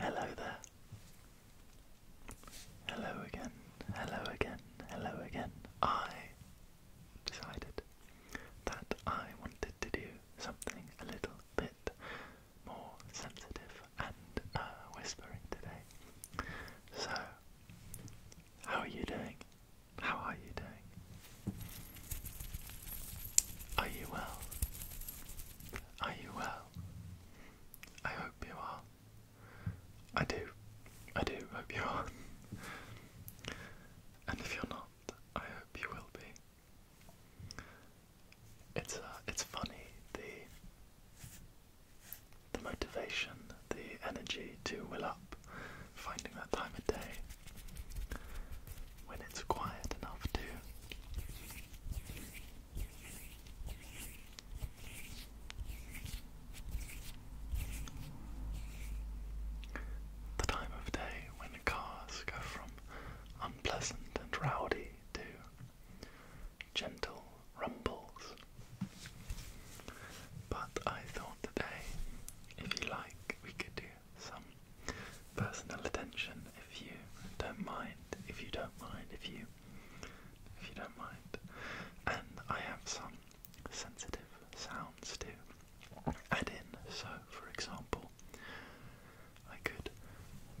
Hello there. Hello again. Hello again. Hello again. I decided that I wanted to do something a little bit more sensitive and uh, whispering today. So how are you doing? How are you doing? Are you well? Are you well? I hope you are. I do. I do hope you are. and if you're not, I hope you will be. It's uh, it's funny the the motivation, the energy to will up, finding that time of day when it's quiet enough to. The time of day when cars go from unpleasant and rowdy to gentle rumbles. But I thought today, if you like, we could do some personal attention if you don't mind, if you don't mind, if you if you don't mind. And I have some sensitive sounds to add in. So for example, I could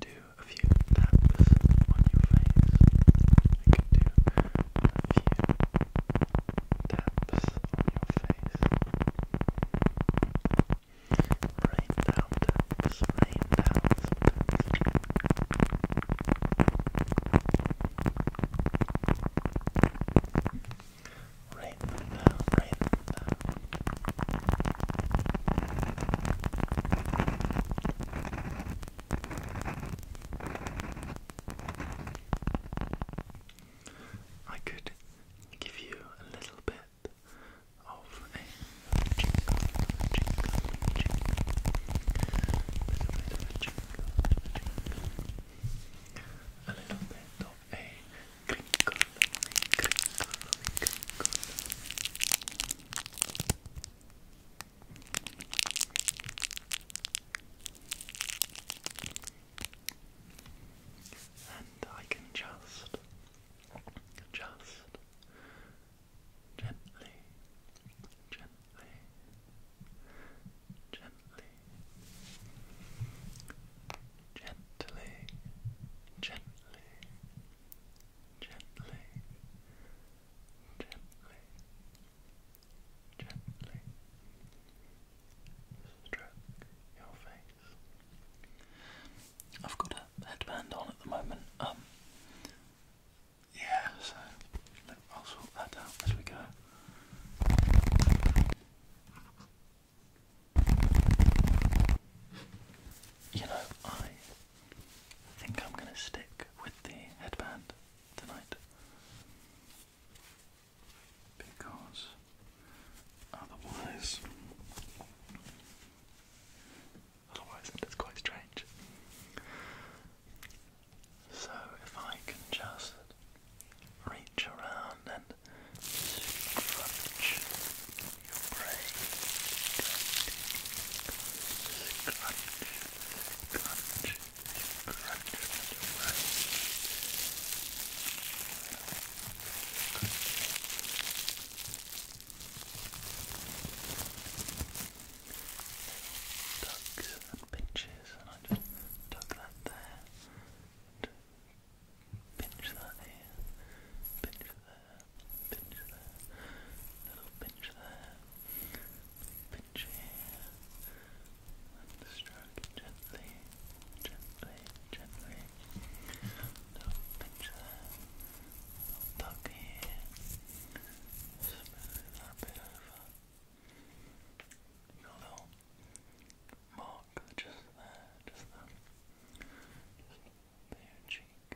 do a few taps on your face to a few taps on your face. Rain down rain down Rain down, rain down. I could give you a little bit of a jingle, jingle, jingle, little bit of a jingle, jingle, a little bit of a crinkle, crinkle, crinkle. And I can just, just gently, gently, gently, gently, gently, gently, gently, gently stroke your face. I've got a headband on at the moment. Um, yeah, so I'll sort that out as we go. You know, I I think I'm going to stick with the headband tonight because otherwise, otherwise it is quite strange. So if I can just reach around and scrunch your brain, scrunch crunch, crunch and pinches, I just tuck that there, pinch that here, pinch there pinch there, little pinch there, pinch here, stroke gently, gently, gently, little pinch there, little tuck here, smooth that bit over, your little mark just there, just there, just there your cheek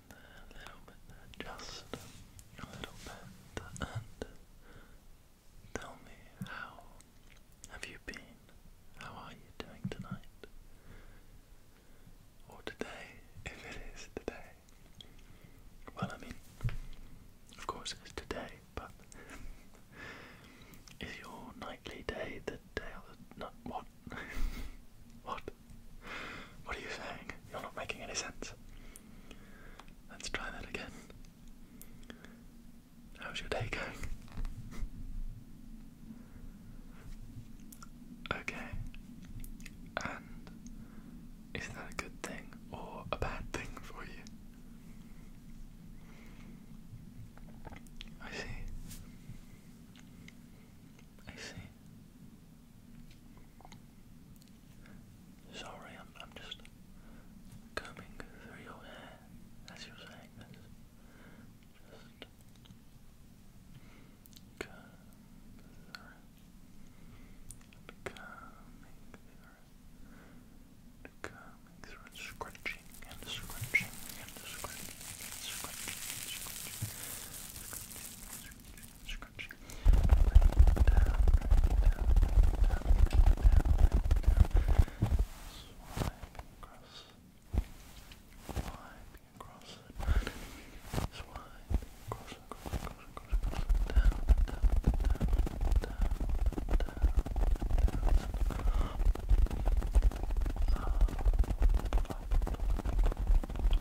a little bit just a little bit, and tell me how have you been? How are you doing tonight? Or today, if it is today. Well, I mean, of course it's today, but is your nightly day the day of the... what? what? What are you saying? You're not making any sense. Let's try that again. How's your day going? Okay. And is that a good thing or a bad thing for you? I see. I see. Sorry, I'm, I'm just combing through your hair as you're saying Just comb through. Combing through. Combing through and scratching and scratching and scratching and scratching and scratching. And scratching, and scratching, and scratching scrunchy. Bring it down, bring it down, bring it down, bring it down, bring it down. Swipe across. Swipe across it. Swipe across, across, across, across, across. Down, down, down, down, down, down. Up, up, up, up, up, up,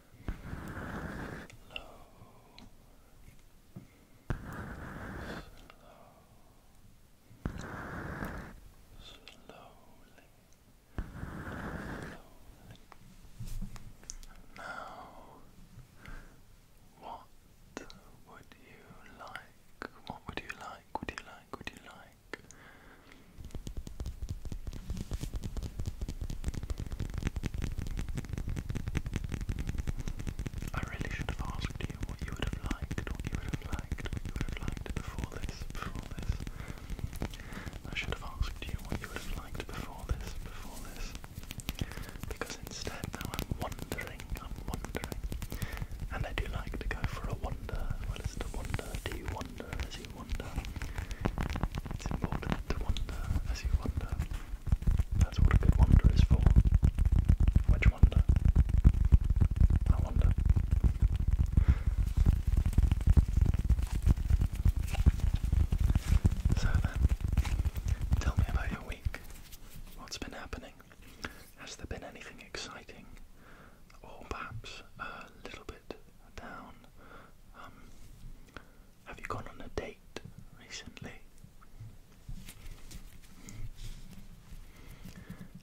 slowly. Now, what would you like? What would you like? Would you like? Would you like? I really should have asked you what you would have liked, what you would have liked, what you would have liked before this, before this. I should have asked you what you would have liked before this, before this. Because instead now I'm wandering, I'm wandering. And I do like to go for a wander. Well, it's to wander, do you wander it's important to wander as you wander. That's what a good wander is for. Which wander? I wonder. So then, tell me about your week. What's been happening? Has there been anything exciting? Or perhaps a little bit down. Um, have you gone on a date recently?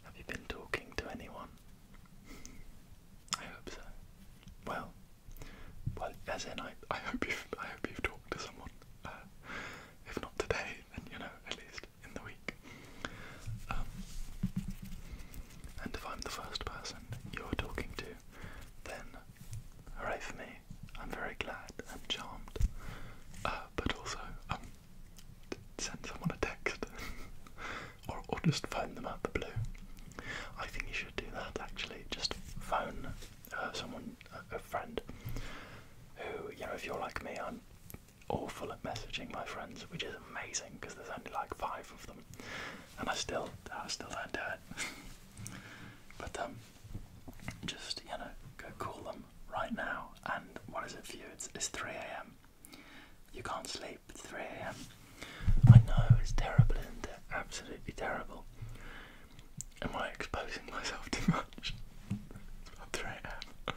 Have you been talking to anyone? I hope so. Well, well, as in, I, I hope you've, I hope you've talked to someone. Uh, if not today, then you know, at least in the week. Um, and if I'm the first person you're talking to, then hooray for me. I'm very glad I'm charmed. Uh, but also, um, send someone a text. or, or just phone them out the blue. I think you should do that actually. Just phone uh, someone, a friend, who, you know, if you're like me, I'm awful at messaging my friends, which is amazing because there's only like five of them and I still, I still don't do it. but um, just you know, go call them right now. And what is it for you? It's, 3 a.m. You can't sleep. 3 a.m. I know it's terrible, is Absolutely terrible. Am I exposing myself too much? It's 3 a.m.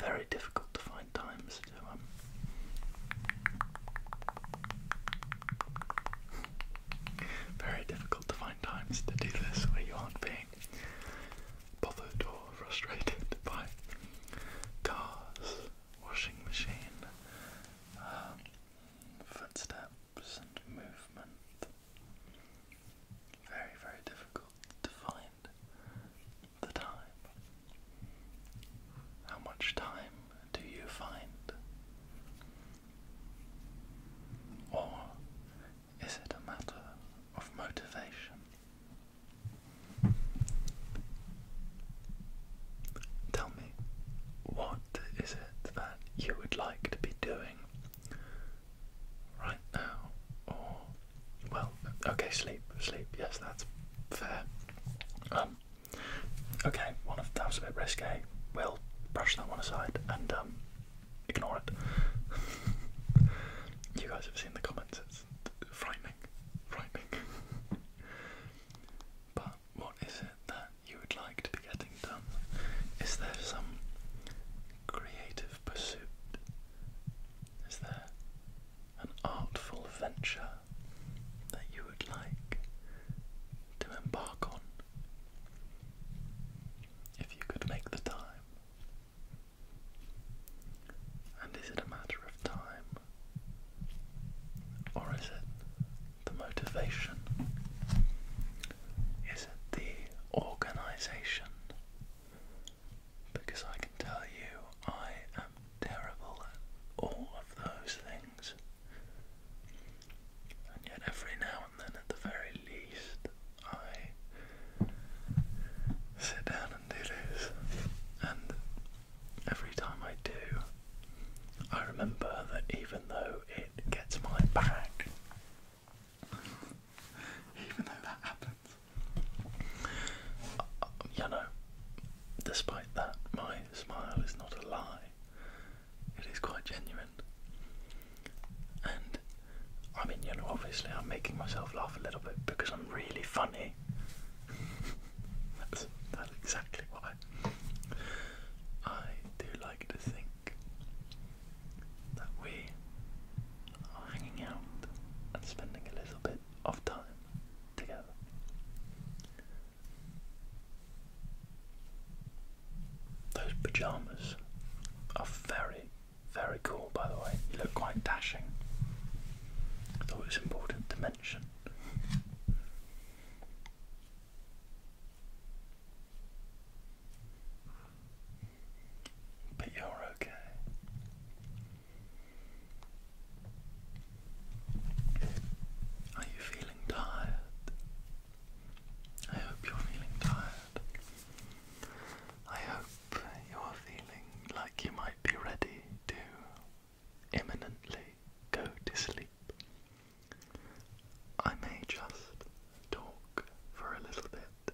Very difficult to find times to um very difficult to find times to do this where you aren't being bothered or frustrated by cars, washing machine, um, footsteps and movement. Very, very difficult to find the time? How much time do you find? Or is it a matter of motivation? Tell me, what is it that you would like to be doing right now? Or, well, okay, sleep, sleep, yes, that's fair. Um, Okay, one of that was a bit risque. We'll brush that one aside and um, ignore it. you guys have seen the comments. It's frightening, frightening. but what is it that you would like to be getting done? Is there some creative pursuit? Is there an artful venture that you would like to embark on if you could make the time? And is it a matter of time? Or is it the motivation? Is it the organisation? Because I can tell you, I am terrible all of those things. And yet, every now and then, at the very least, I sit down and do this. And every time I do, I remember that even though it gets my back, even though that happens, uh, you know, despite that, my smile is not a lie, it is quite genuine. And I mean, you know, obviously, I'm making myself laugh a little bit because I'm really funny. that's, exactly why. I do like to think that we are hanging out and spending a little bit of time together. Those pajamas are very, very cool, by the way. You look quite dashing. I thought it was important to mention. But you're okay. Are you feeling tired? I hope you're feeling tired. I hope you're feeling like you might be ready to imminently go to sleep. I may just talk for a little bit,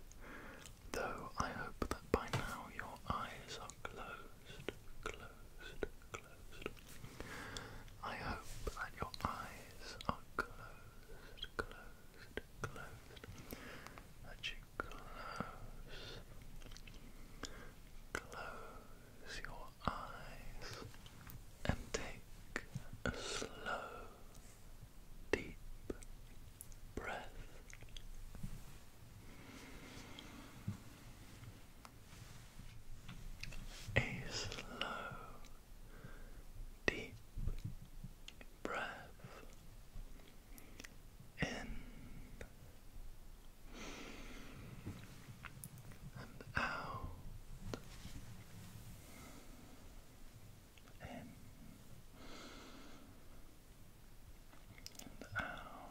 though I hope that by now your eyes are closed closed, closed. I hope that your eyes are closed, closed, closed. That you close, close your eyes and take a slow, deep breath a slow, deep breath in and out. In and out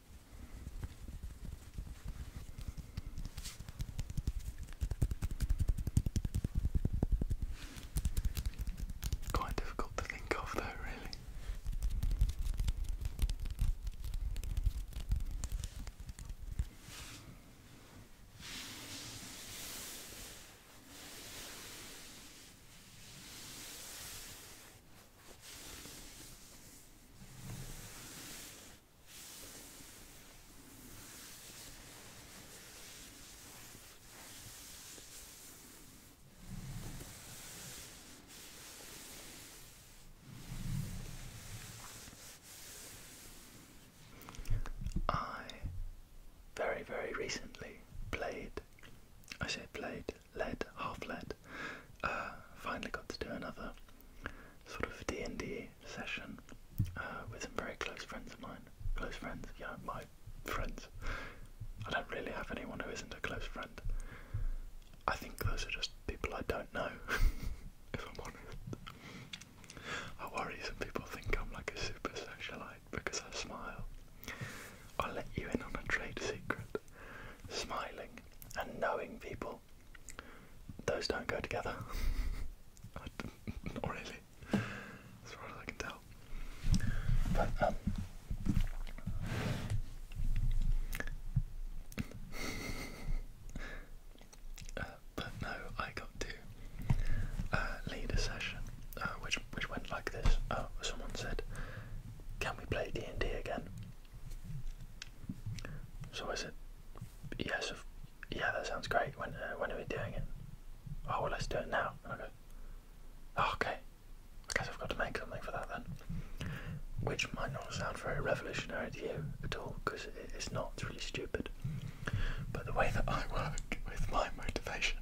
Quite difficult to think of, though, really. I very, very recently played, I say played, led, half led. Uh, finally got to do another sort of D and D session uh, with some very close friends of mine. Close friends, yeah, my friends. I don't really have anyone who isn't a close friend. I think those are just people I don't know. if I'm honest, I worry some people think I'm like a super socialite because I smile. I'll let you in on a trade secret. Smiling and knowing people, those don't go together. Not really, as far as I can tell. But, um. Uh, but no, I got to uh, lead a session uh, which which went like this. Uh, someone said, can we play D&D again? So I said, yes, yeah, that sounds great. When, uh, when are we doing it? Oh, well, let's do it now. And oh, okay, I guess I've got to make something for that then. Which might not sound very revolutionary to you at all, because it's not, really stupid. But the way that I work with my motivation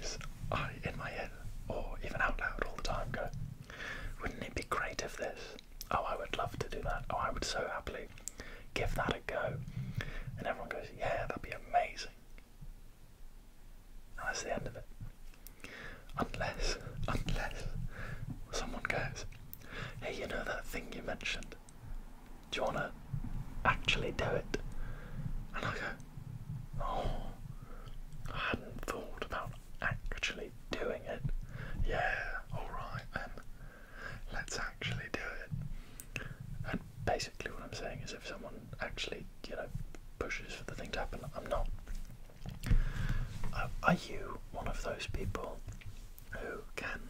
is I, in my head, or even out loud all the time go, wouldn't it be great if this? Oh, I would love to do that. Oh, I would so happily give that a go. And everyone goes, yeah, that'd be amazing. And that's the end of it. Unless, unless someone goes, hey, you know that thing you mentioned? Do you want to actually do it? And I go, Oh, I hadn't thought about actually doing it. Yeah, alright then. Let's actually do it. And basically, what I'm saying is if someone actually, you know, pushes for the thing to happen, I'm not. Uh, are you one of those people who can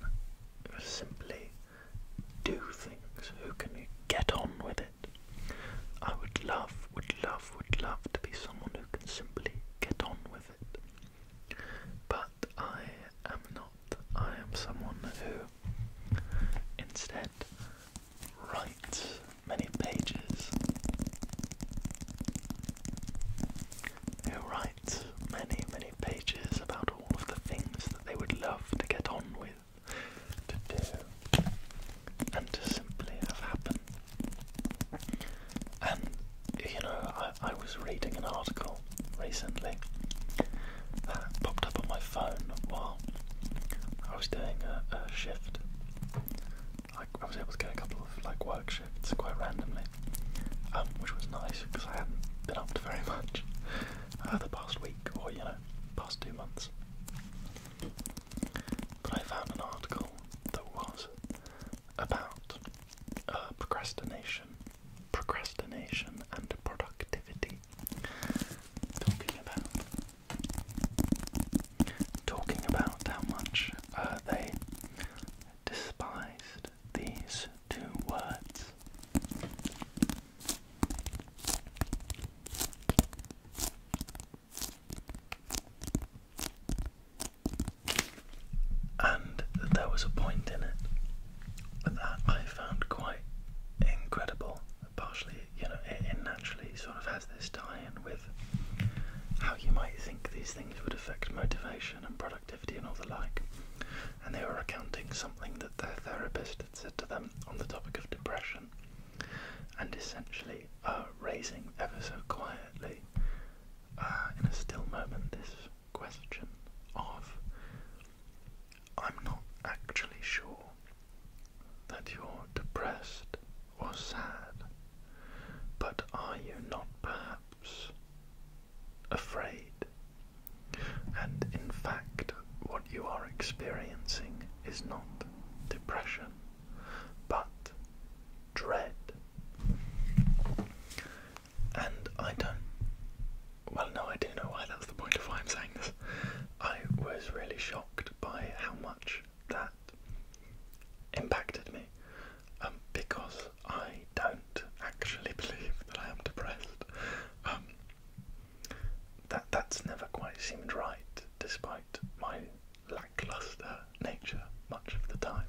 simply do things, who can get on with it? I would love, would love, would love to be someone who can simply get on with it. But I am not. I am someone who instead writes many pages. Who writes many, many pages about all of the things that they would love to get on with to do, and to simply have happen. And you know, I, was reading an article recently that popped up on my phone while I was doing a, shift. I, was able to get a couple of like work shifts quite randomly, um, which was nice because I hadn't been up to very much uh, the past week or you know, past two months. But I found an article that was about uh, procrastination, procrastination and productivity. Talking about, talking about how much uh, they despised these two words. And that there was a point in it that I found quite incredible. Partially, you know, it, naturally sort of has this tie-in with how you might think these things would affect motivation and productivity and all the like. And they were recounting something that their therapist had said to them on the topic of depression and essentially uh, raising ever so quietly uh, in a still moment this question of I'm not actually sure that you're depressed or sad, but are you not perhaps afraid? And in fact, what you are experiencing is not depression but dread. And I don't. Well, no, I do know why. That's the point of why I'm saying this. I was really shocked by how much that impacted me um, because I don't actually believe that I am depressed. Um, that that's never quite seemed right, despite my lackluster nature much of the time.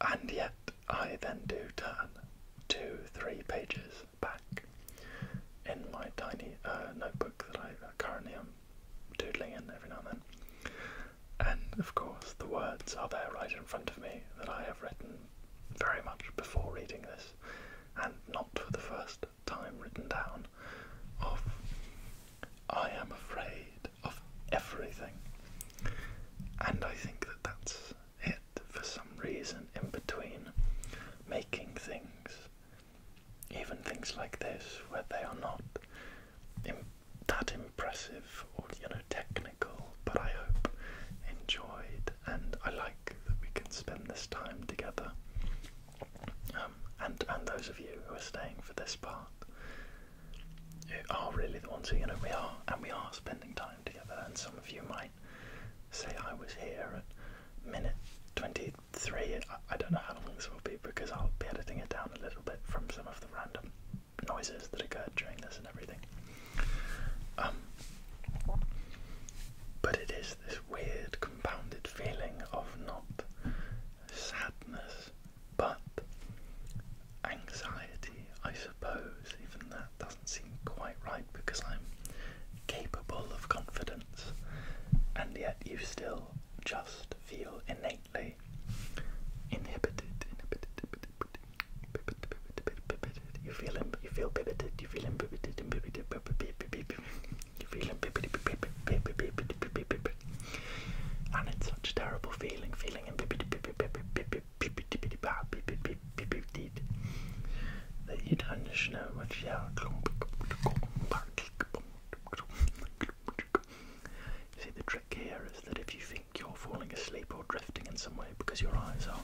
And yet, I then do turn two, three pages back in my tiny uh, notebook that I uh, currently am doodling in every now and then. And of course, the words are there right in front of me that I have written very much before reading this and not for the first time written down, of I am afraid of everything. And I think that that's it for some reason in between making things, even things like this, where they are not that impressive or you know technical, but I hope enjoyed and I like that we can spend this time together. Um, and and those of you who are staying for this part who are really the ones who you know we are and we are spending time together. And some of you might say I was here at minute twenty three. I, I don't know how long this will be because I'll be editing it down a little bit from some of the random noises that occurred during this and everything. Um, but it is this weird compounded feeling of not sadness but anxiety, I suppose. Even that doesn't seem quite right because I'm capable of confidence, and yet you still just feel innately inhibited you feel him. You feel pivoted. You feel him. Pivoted. And pivoted. You feel him. And it's such a terrible feeling. Feeling him. That you don't just know what you are. You see, the trick here is that if you think you're falling asleep or drifting in some way because your eyes are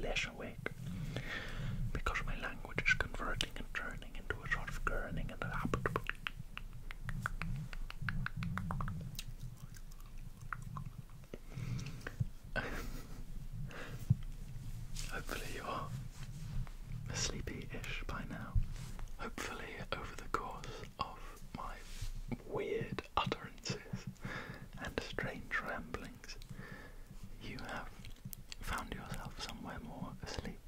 less awake because my language is converting and turning into a sort of gurning and a habit. Hopefully, you are sleepy ish by now. Hopefully, over the course of my weird utterances and strange ramblings, you have found yourself somewhere more asleep,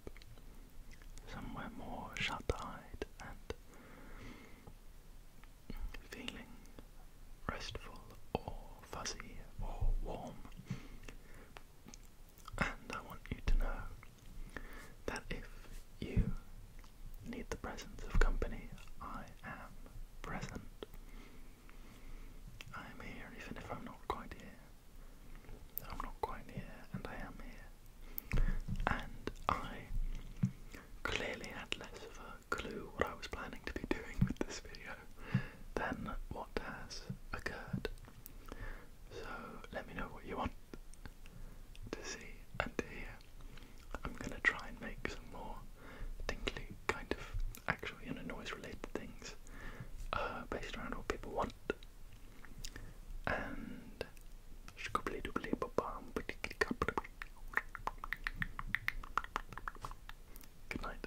somewhere more shut eyed and feeling restful or fuzzy or warm. And I want you to know that if you need the presence of company, I am present. I am here even if I'm not quite here. I'm not quite here, and I am here. And I clearly had less of a clue what I was planning to be doing with this video than what has occurred. So let me know what you want to see and hear I'm gonna try and make some more tingly kind of actually you know noise related things uh, based around what people want. And Good night.